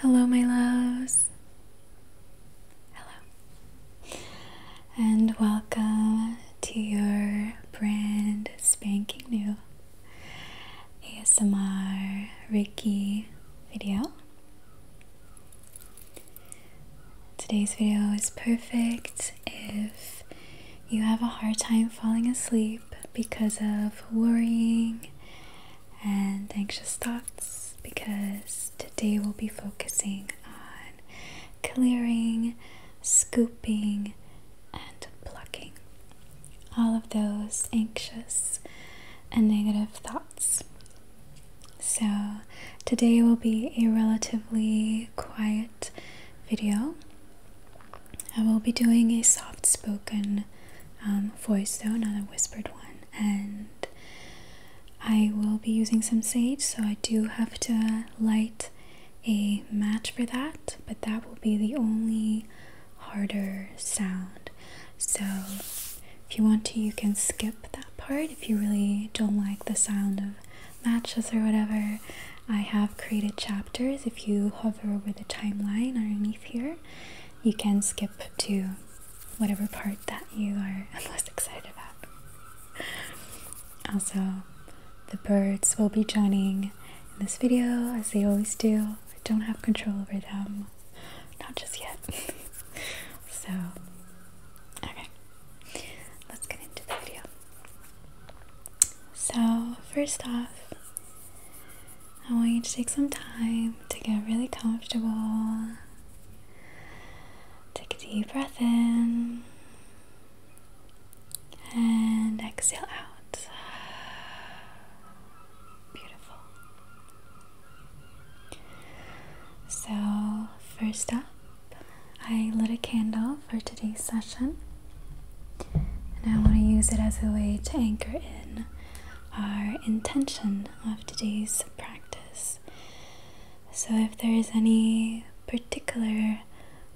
Hello, my loves. Hello. And welcome to your brand spanking new ASMR Ricky video. Today's video is perfect if you have a hard time falling asleep because of worrying and anxious thoughts, because today we'll be focusing on clearing, scooping, and plucking all of those anxious and negative thoughts. So, today will be a relatively quiet video. I will be doing a soft spoken um, voice though, not a whispered one. And I will be using some sage, so I do have to light a match for that, but that will be the only harder sound. So if you want to, you can skip that part if you really don't like the sound of matches or whatever. I have created chapters if you hover over the timeline underneath here you can skip to whatever part that you are most excited about. Also, the birds will be joining in this video as they always do. I don't have control over them, not just yet. so, okay, let's get into the video. So, first off, I want you to take some time to get really comfortable. Take a deep breath in and exhale out. Beautiful. So, first up, I lit a candle for today's session. And I want to use it as a way to anchor in our intention of today's practice. So, if there is any particular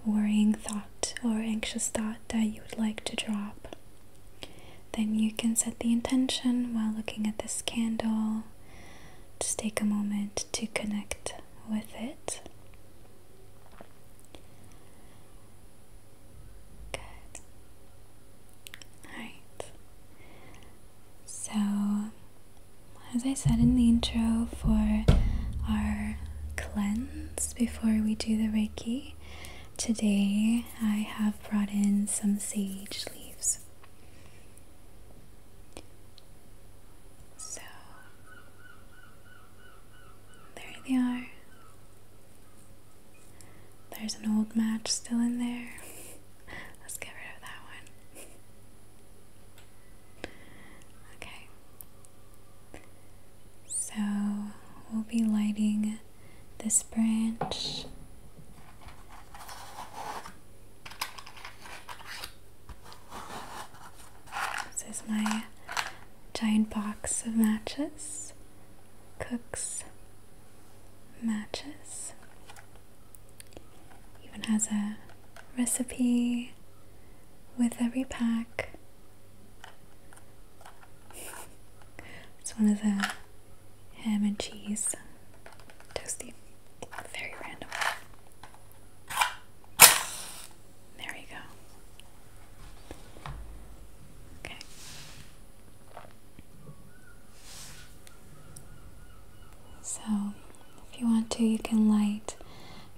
worrying thought or anxious thought that you would like to drop, then you can set the intention while looking at this candle. Just take a moment to connect with it. Good. Alright. So, as I said in the intro for our cleanse before we do the Reiki, today I have brought in some sage leaves. So, there they are. There's an old match still in there. Let's get rid of that one. okay. So we'll be lighting this branch. This is my giant box of matches. Cooks, Matches. Even has a recipe with every pack. It's one of the ham and cheese toasty. Very random. There you go. Okay. So, if you want to, you can light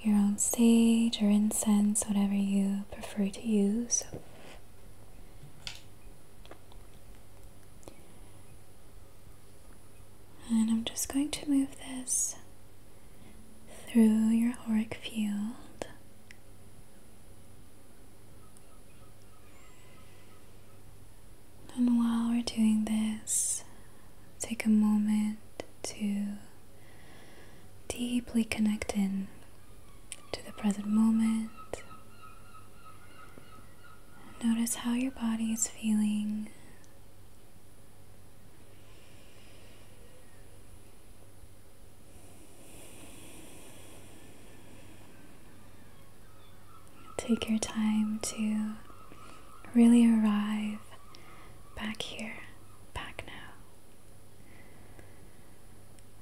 your own sage or incense, whatever you prefer to use. And I'm just going to move this through your auric field and while we're doing this, take a moment to deeply connect in to the present moment. Notice how your body is feeling. Take your time to really arrive back here, back now.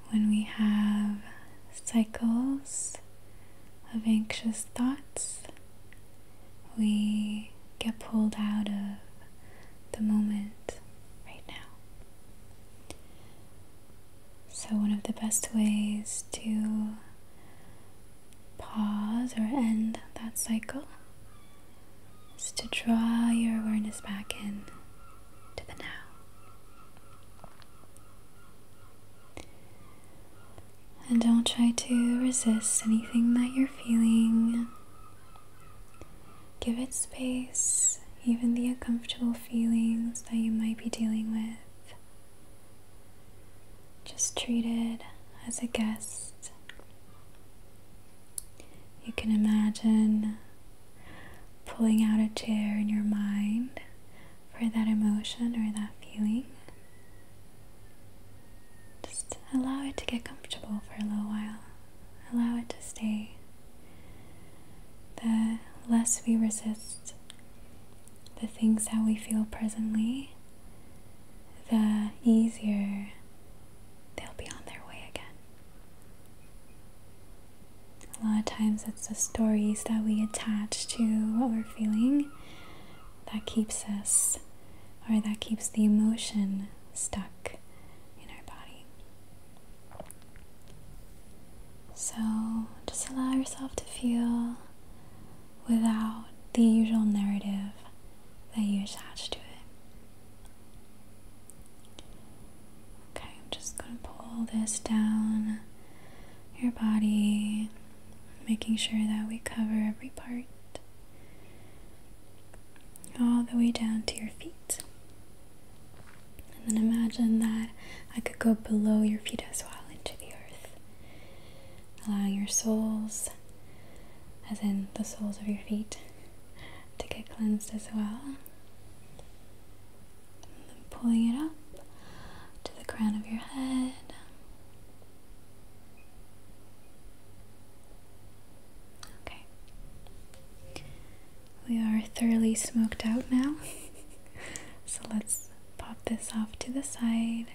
When we have cycles of anxious thoughts, we get pulled out of the moment right now. So, one of the best ways to pause or end that cycle is to draw your awareness back in to the now. And don't try to resist anything that you're feeling Give it space, even the uncomfortable feelings that you might be dealing with. Just treat it as a guest. You can imagine pulling out a chair in your mind for that emotion or that feeling. Just allow it to get comfortable for a little while. Allow it to stay. The less we resist the things that we feel presently, the easier they'll be on their way again. A lot of times it's the stories that we attach to what we're feeling that keeps us or that keeps the emotion stuck in our body. So just allow yourself to feel without the usual narrative that you attach to it. Okay, I'm just going to pull this down your body, making sure that we cover every part all the way down to your feet. And then imagine that I could go below your feet as well into the earth, allowing your soles, as in the soles of your feet, to get cleansed as well. pulling it up to the crown of your head. Okay. We are thoroughly smoked out now. so let's pop this off to the side.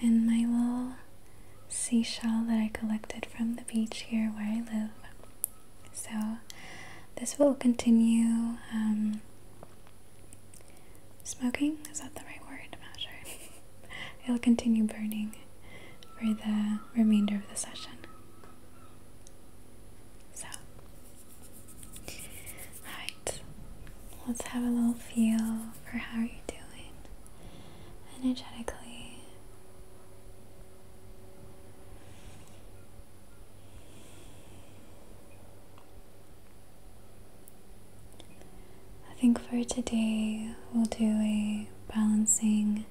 And my little seashell that I collected from the beach here where I live. So this will continue um, smoking. Is that the right word? I'm not sure. It'll continue burning for the remainder of the session. So, alright, let's have a little feel for how you're doing energetically. I think for today we'll do a balancing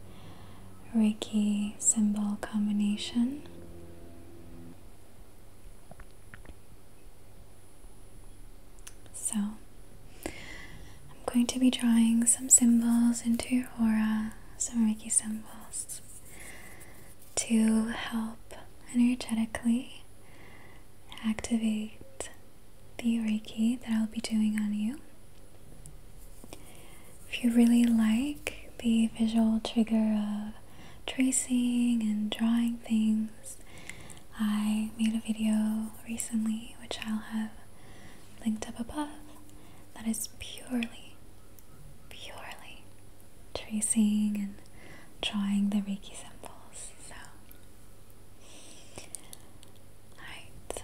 Reiki symbol combination. So, I'm going to be drawing some symbols into your aura, some Reiki symbols to help energetically activate the Reiki that I'll be doing on you. If you really like the visual trigger of tracing and drawing things, I made a video recently which I'll have linked up above that is purely, purely tracing and drawing the Reiki symbols. So, alright,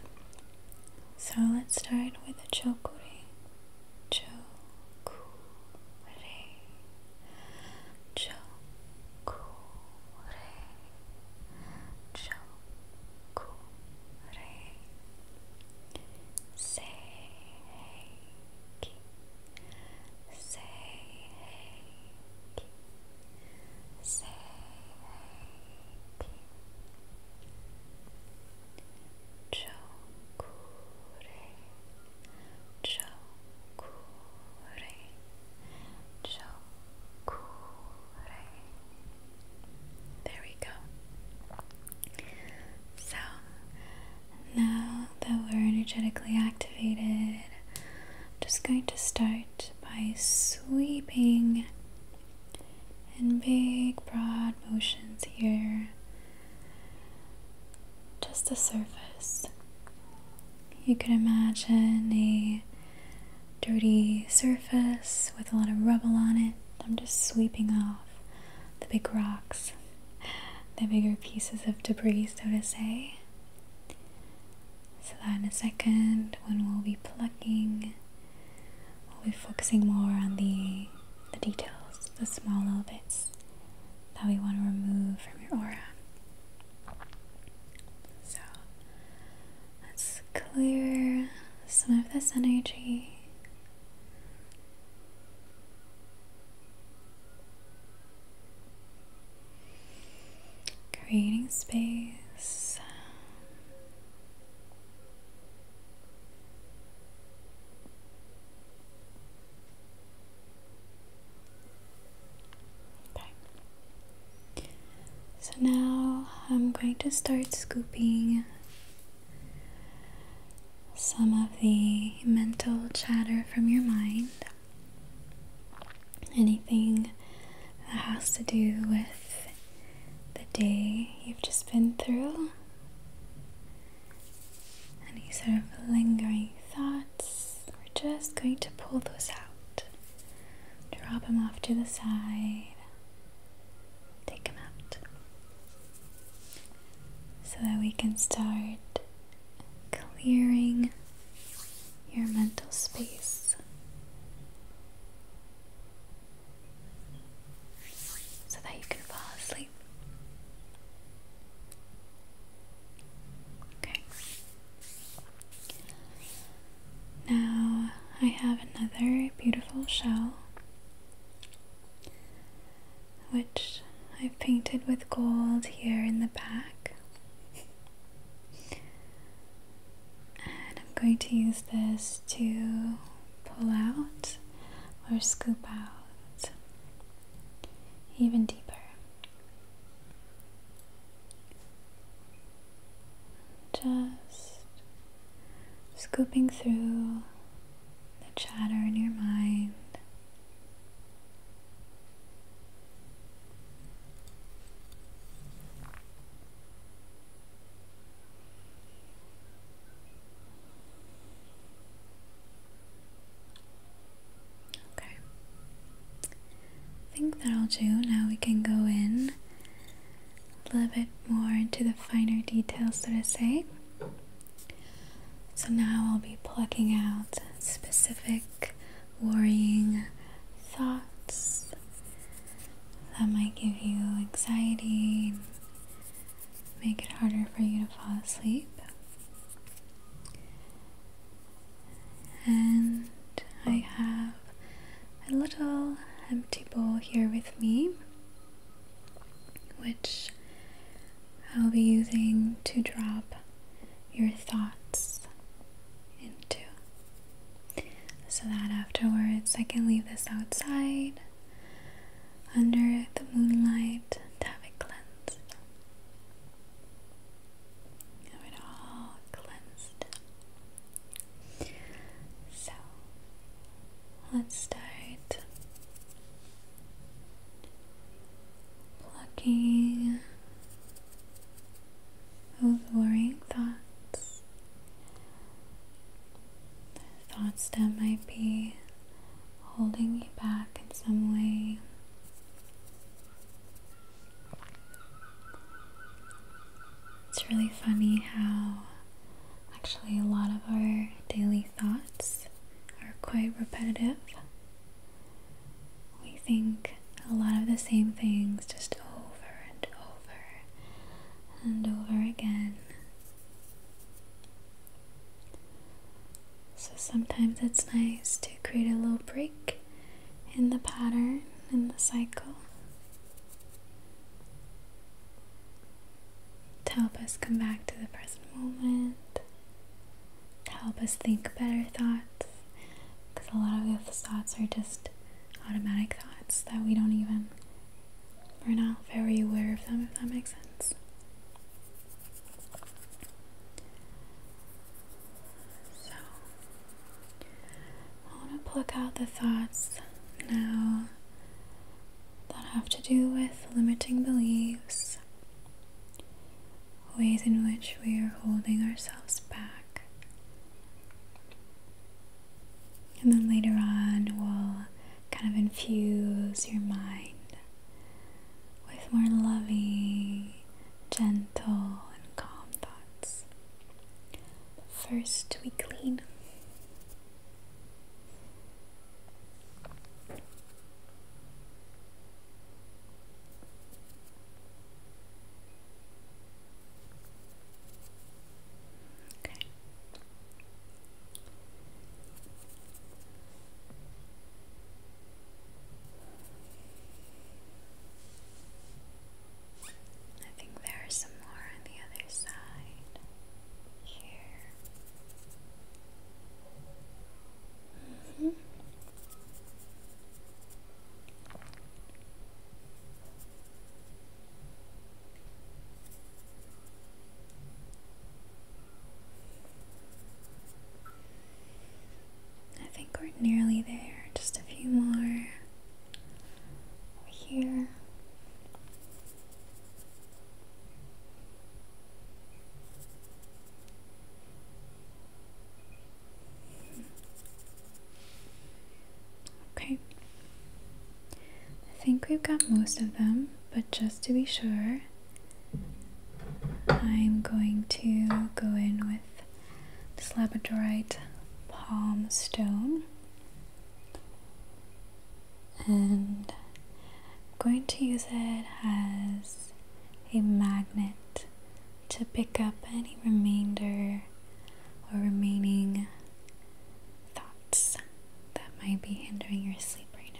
so let's start with a chokure. Chokure. Chokure. Chokure. Seiki. Seiki. Seiki. There we go. So now that we're energetically activated, I'm just going to start by sweeping in big broad motions here, just the surface. You could imagine a dirty surface with a lot of rubble on it. I'm just sweeping off the big rocks, the bigger pieces of debris, so to say. So that in a second, when we'll be plucking we'll be focusing more on the, the details, the small little bits that we want to remove from your aura. So let's clear some of this energy. Creating space so now I'm going to start scooping some of the mental chatter from your mind. Anything that has to do with the day you've just been through. Any sort of lingering thoughts, we're just going to pull those out. Drop them off to the side. Take them out. So that we can start clearing your mental space so that you can fall asleep. Okay. Now I have another beautiful shell which I've painted with gold here in the back. And I'm going to use this to pull out or scoop out even deeper. Just scooping through the chatter in your mind. Okay. I think that'll do. Now we can go in a little bit more into the finer details, so to say. So now I'll be plucking out specific worrying thoughts that might give you anxiety make it harder for you to fall asleep. And I have a little empty bowl here with me, which I'll be using to drop your thoughts into. So that afterwards I can leave this outside under the moonlight and have it cleansed. Have all cleansed. So let's start plucking those worrying thoughts thoughts that might be holding you back in some way. It's really funny how actually a lot of our daily thoughts are quite repetitive. We think a lot of the same things just over and over and over again. So sometimes it's nice to create a little break in the pattern, in the cycle, to help us come back to the present moment, to help us think better thoughts, because a lot of those thoughts are just automatic thoughts that we don't even, we're not very aware of them, if that makes sense. So, I want to pluck out the thoughts now that have to do with limiting beliefs, ways in which we are holding ourselves back and then later on, we'll kind of infuse your mind with more loving, gentle, and calm thoughts. first, we clean. I think there are some more on the other side here. Mm -hmm. I think we're nearly there, just a few more here. Okay. I think we've got most of them, but just to be sure, I'm going to go in with this labradorite palm stone. And I'm going to use it as a magnet to pick up any remainder or remaining thoughts that might be hindering your sleep right now.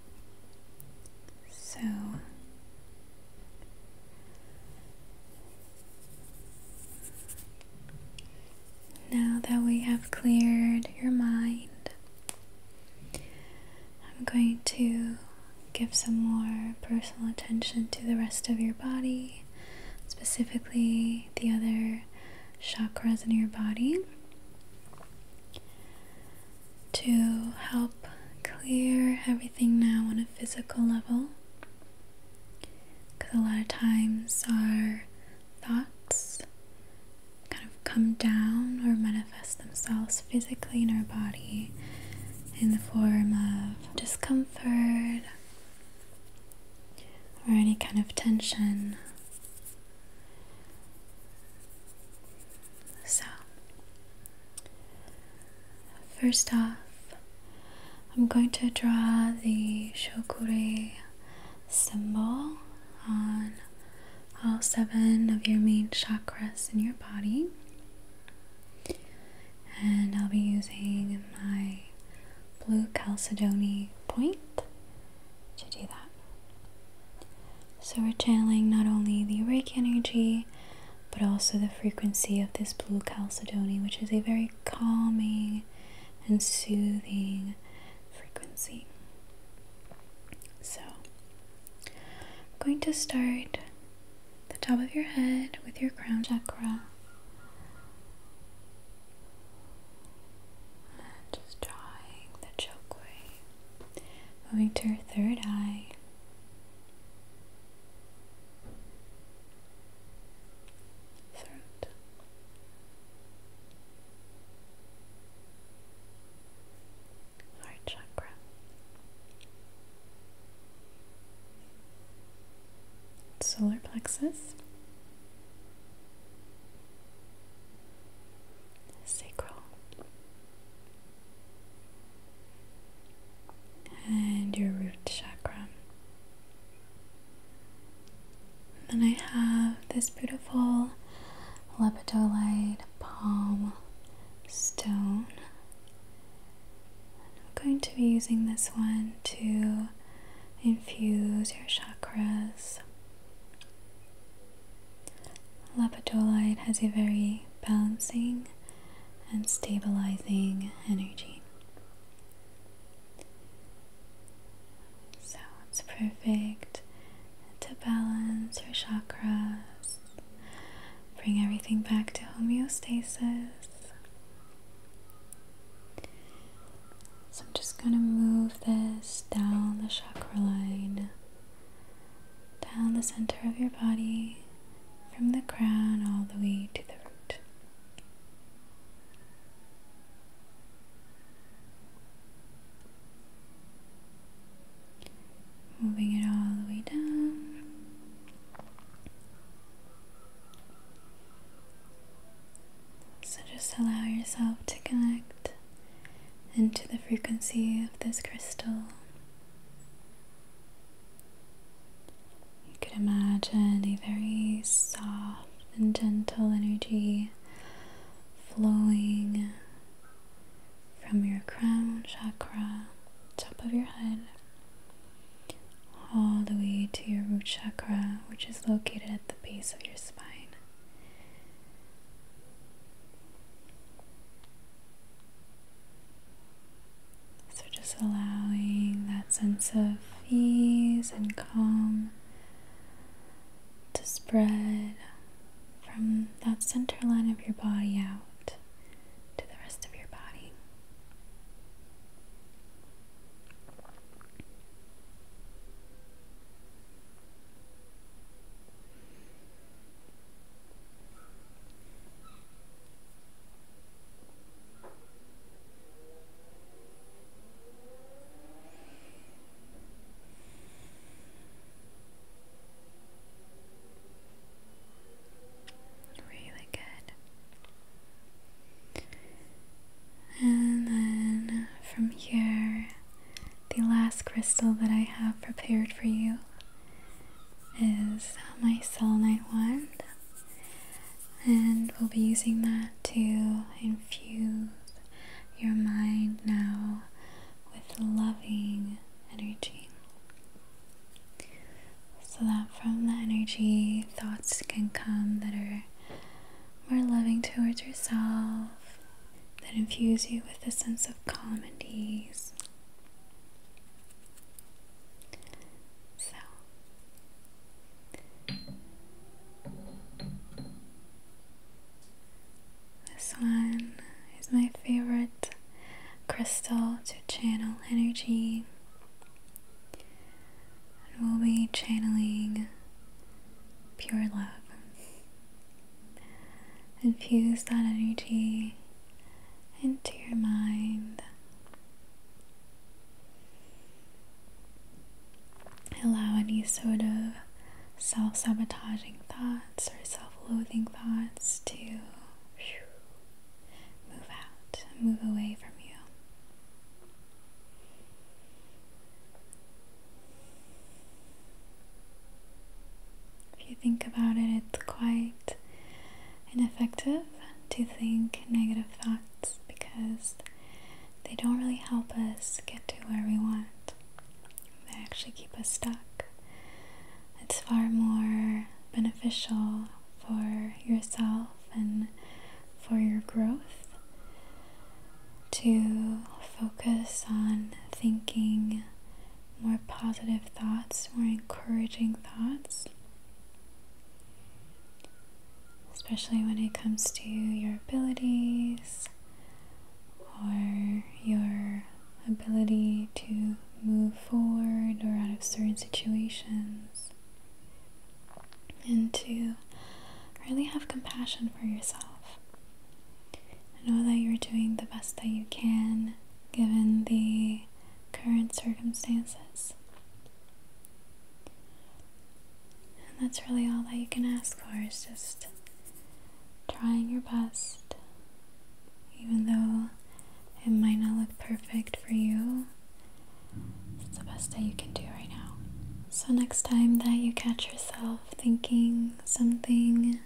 So now that we have cleared your mind, I'm going to give some more personal attention to the rest of your body, specifically the other chakras in your body to help clear everything now on a physical level. Because a lot of times our thoughts kind of come down or manifest themselves physically in our body in the form of discomfort or any kind of tension. So, first off, I'm going to draw the Shokure symbol on all seven of your main chakras in your body. And I'll be using my blue chalcedony point to do that. So we're channeling not only the Reiki energy, but also the frequency of this blue chalcedony, which is a very calming and soothing frequency. So I'm going to start the top of your head with your crown chakra. just drawing the choke moving to your third eye throat. Heart chakra, solar plexus, sacral, and your root chakra. Then I have this beautiful lepidolite palm stone. I'm going to be using this one to infuse your chakras. Lapidolite has a very balancing and stabilizing energy. So it's perfect to balance your chakras, bring everything back to homeostasis. So I'm just going to move this down the chakra line down the center of your body from the crown all the way to the root. Moving it all the way down. So just allow yourself to connect into the frequency of this crystal you can imagine a very soft and gentle energy flowing from your crown chakra, top of your head, all the way to your root chakra, which is located at the base of your spine. So, just allowing that sense of ease and calm to spread from that center line of your body out to the rest of your body. Really good. And then from here, the last crystal that I have prepared for you is my selenite wand and we'll be using that to infuse your mind now with loving energy so that from that energy thoughts can come that are more loving towards yourself that infuse you with a sense of calm and ease. So, this one is my favorite crystal to channel energy. And we'll be channeling pure love. Infuse that energy into your mind. Allow any sort of self sabotaging thoughts or self loathing thoughts to move out, move away from you. If you think about it, it's quite ineffective to think negative thoughts because they don't really help us get to where we want. They actually keep us stuck. It's far more beneficial for yourself and for your growth to focus on thinking more positive thoughts, more encouraging thoughts, especially when it comes to your abilities or your ability to move forward or out of certain situations, and to really have compassion for yourself know that you're doing the best that you can given the current circumstances. And that's really all that you can ask for is just trying your best, even though it might not look perfect for you. It's the best that you can do right now. So, next time that you catch yourself thinking something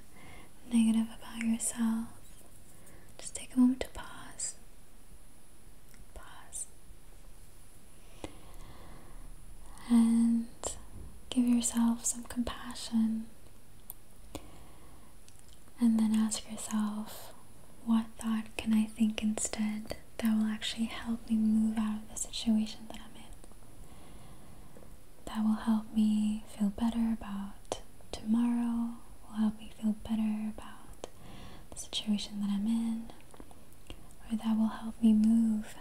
negative about yourself, just take a moment to pause. Pause. And give yourself some compassion. And then ask yourself, what thought can I think instead that will actually help me move out of the situation that I'm in? that will help me feel better about tomorrow, will help me feel better about the situation that I'm in, or that will help me move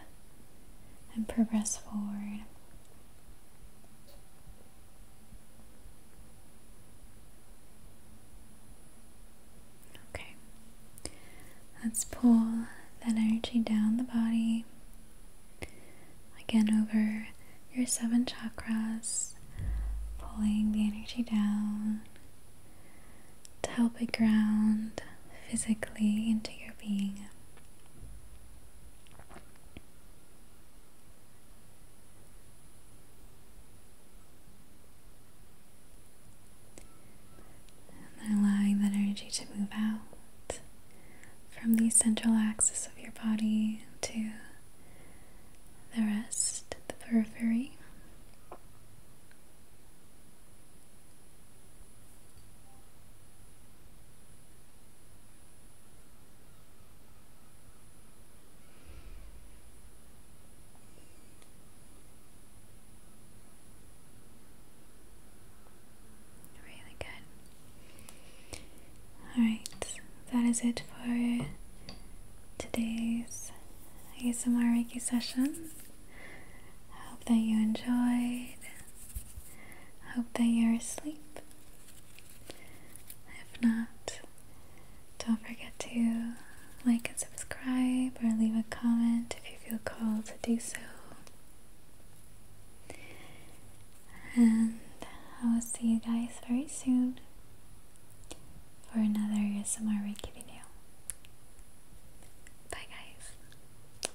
and progress forward. Okay, let's pull that energy down the body Again, over your seven chakras, pulling the energy down to help it ground physically into your being. And allowing that energy to move out from the central axis of your body to the rest, the periphery. Really good. Alright, that is it for today's ASMR Reiki session. hope that you enjoyed. hope that you're asleep. If not, don't forget to like and subscribe or leave a comment if you feel called to do so. And I will see you guys very soon for another ASMR Reiki video. Bye guys.